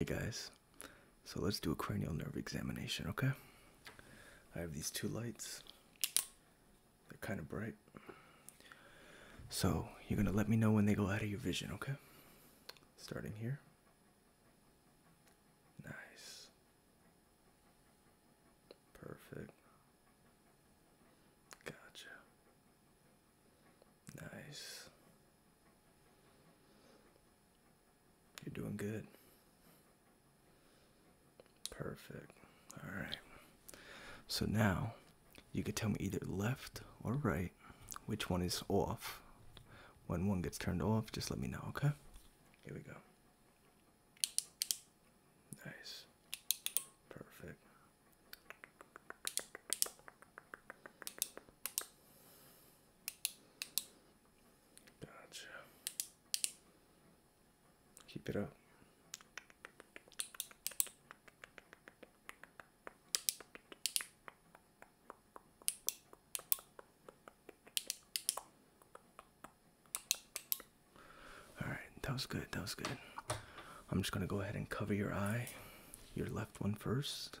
Hey guys, so let's do a cranial nerve examination, okay? I have these two lights, they're kind of bright. So you're gonna let me know when they go out of your vision, okay? Starting here. Nice. Perfect. Gotcha. Nice. You're doing good. Perfect. All right. So now you could tell me either left or right which one is off. When one gets turned off, just let me know, okay? Here we go. Nice. Perfect. Gotcha. Keep it up. All right, that was good. That was good. I'm just going to go ahead and cover your eye, your left one first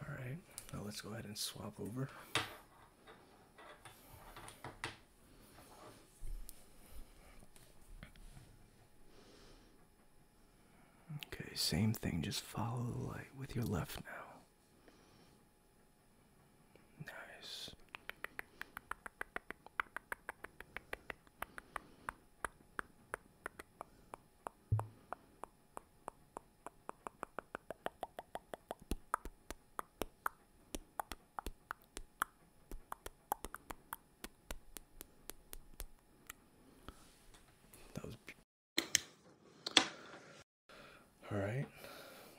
All right, now let's go ahead and swap over. Okay, same thing, just follow the light with your left now. Nice. That was all right.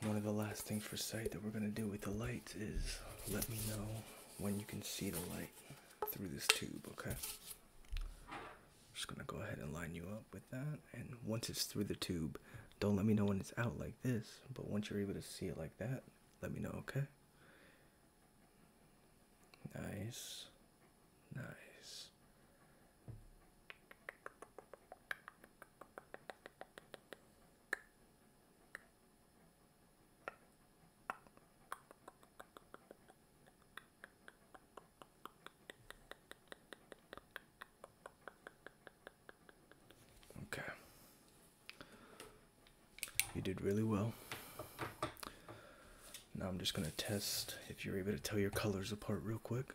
One of the last things for sight that we're going to do with the lights is let me know when you can see the light through this tube, okay? just gonna go ahead and line you up with that. And once it's through the tube, don't let me know when it's out like this. But once you're able to see it like that, let me know, okay? Nice. Nice. Okay. You did really well. Now I'm just going to test if you're able to tell your colors apart real quick.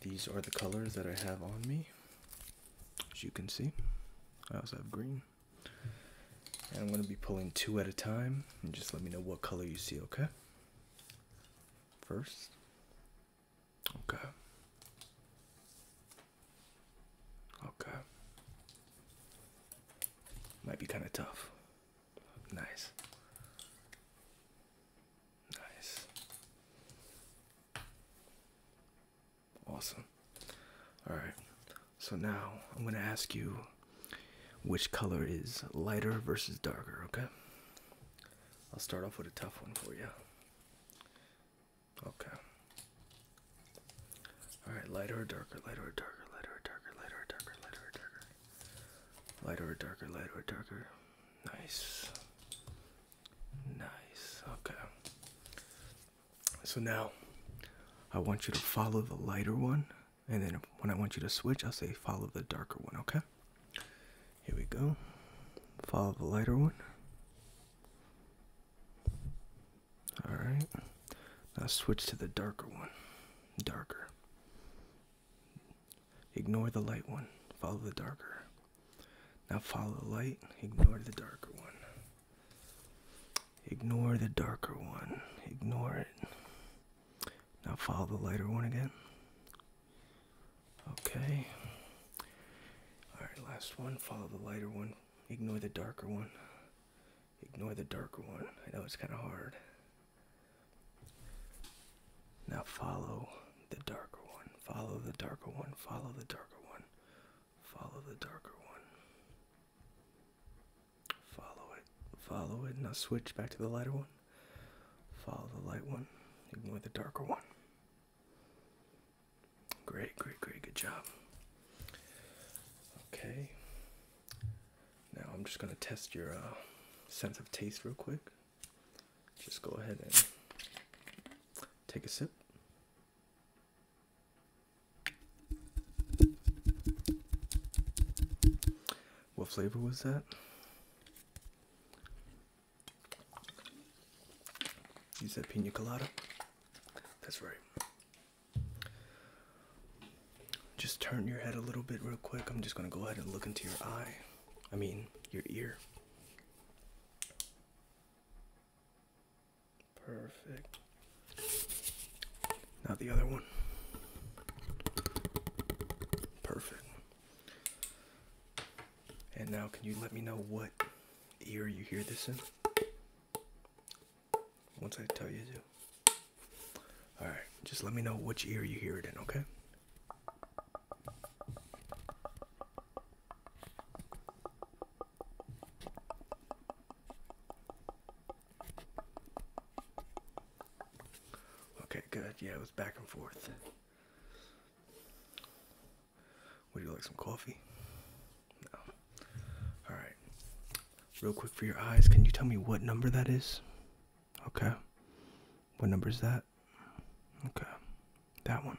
These are the colors that I have on me. As you can see, I also have green. And I'm going to be pulling two at a time and just let me know what color you see, okay? First. Okay. Okay. Might be kind of tough. Nice. Nice. Awesome. All right. So now I'm going to ask you which color is lighter versus darker, okay? I'll start off with a tough one for you. Okay. All right, lighter or darker, lighter or darker, lighter or darker, lighter or darker, lighter or darker. Lighter or darker, lighter or darker. Nice. Nice. Okay. So now I want you to follow the lighter one and then when I want you to switch, I'll say follow the darker one, okay? Here we go. Follow the lighter one. Alright. Now switch to the darker one. Darker. Ignore the light one. Follow the darker. Now follow the light. Ignore the darker one. Ignore the darker one. Ignore it. Now follow the lighter one again. Okay. Alright, last one. Follow the lighter one. Ignore the darker one. Ignore the darker one. I know it's kind of hard. Now follow the darker one. Follow the darker one. Follow the darker one. Follow the darker one. Follow it. Follow it. and Now switch back to the lighter one. Follow the light one. Ignore the darker one. Great, great, great. Good job. Okay. Now I'm just going to test your uh, sense of taste real quick. Just go ahead and take a sip. What flavor was that? Is that pina colada. That's right. Just turn your head a little bit real quick. I'm just going to go ahead and look into your eye. I mean, your ear. Perfect. Now the other one. Perfect. And now, can you let me know what ear you hear this in? Once I tell you to. Alright, just let me know which ear you hear it in, okay? Okay, good. Yeah, it was back and forth. Would you like some coffee? No. Alright. Real quick for your eyes, can you tell me what number that is? Okay. What number is that? Okay. That one.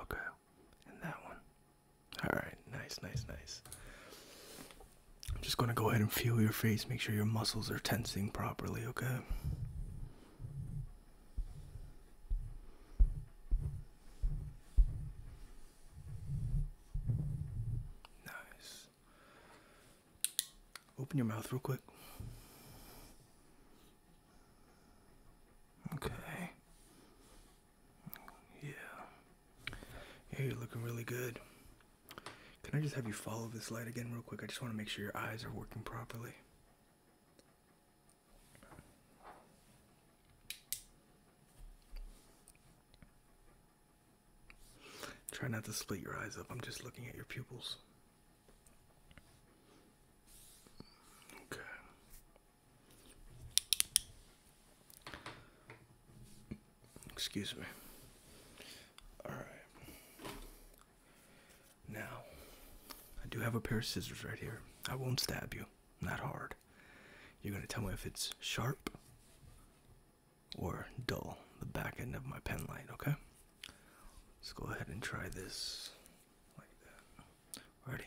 Okay. And that one. Alright, nice, nice, nice. I'm just going to go ahead and feel your face. Make sure your muscles are tensing properly, okay? Nice. Open your mouth real quick. Okay. Yeah. Yeah, you're looking really good. Can I just have you follow this light again, real quick? I just want to make sure your eyes are working properly. Try not to split your eyes up. I'm just looking at your pupils. Okay. Excuse me. All right. Now, I do have a pair of scissors right here. I won't stab you, not hard. You're going to tell me if it's sharp or dull, the back end of my pen light, okay? Let's go ahead and try this like that. Ready?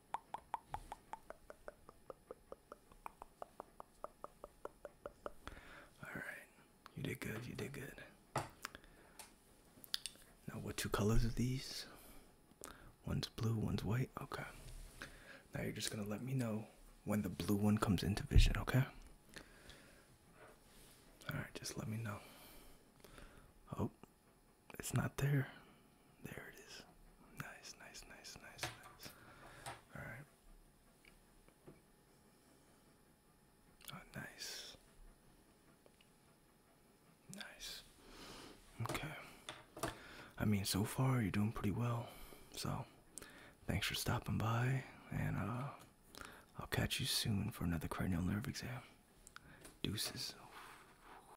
All right, you did good. You did good. Now, what two colors are these? One's blue, one's white. Okay. Now you're just gonna let me know when the blue one comes into vision. Okay. All right, just let me know. Oh, it's not there. There it is. Nice, nice, nice, nice, nice. All right. Oh, nice. Nice. Okay. I mean, so far you're doing pretty well. So, thanks for stopping by, and uh, I'll catch you soon for another cranial nerve exam. Deuces.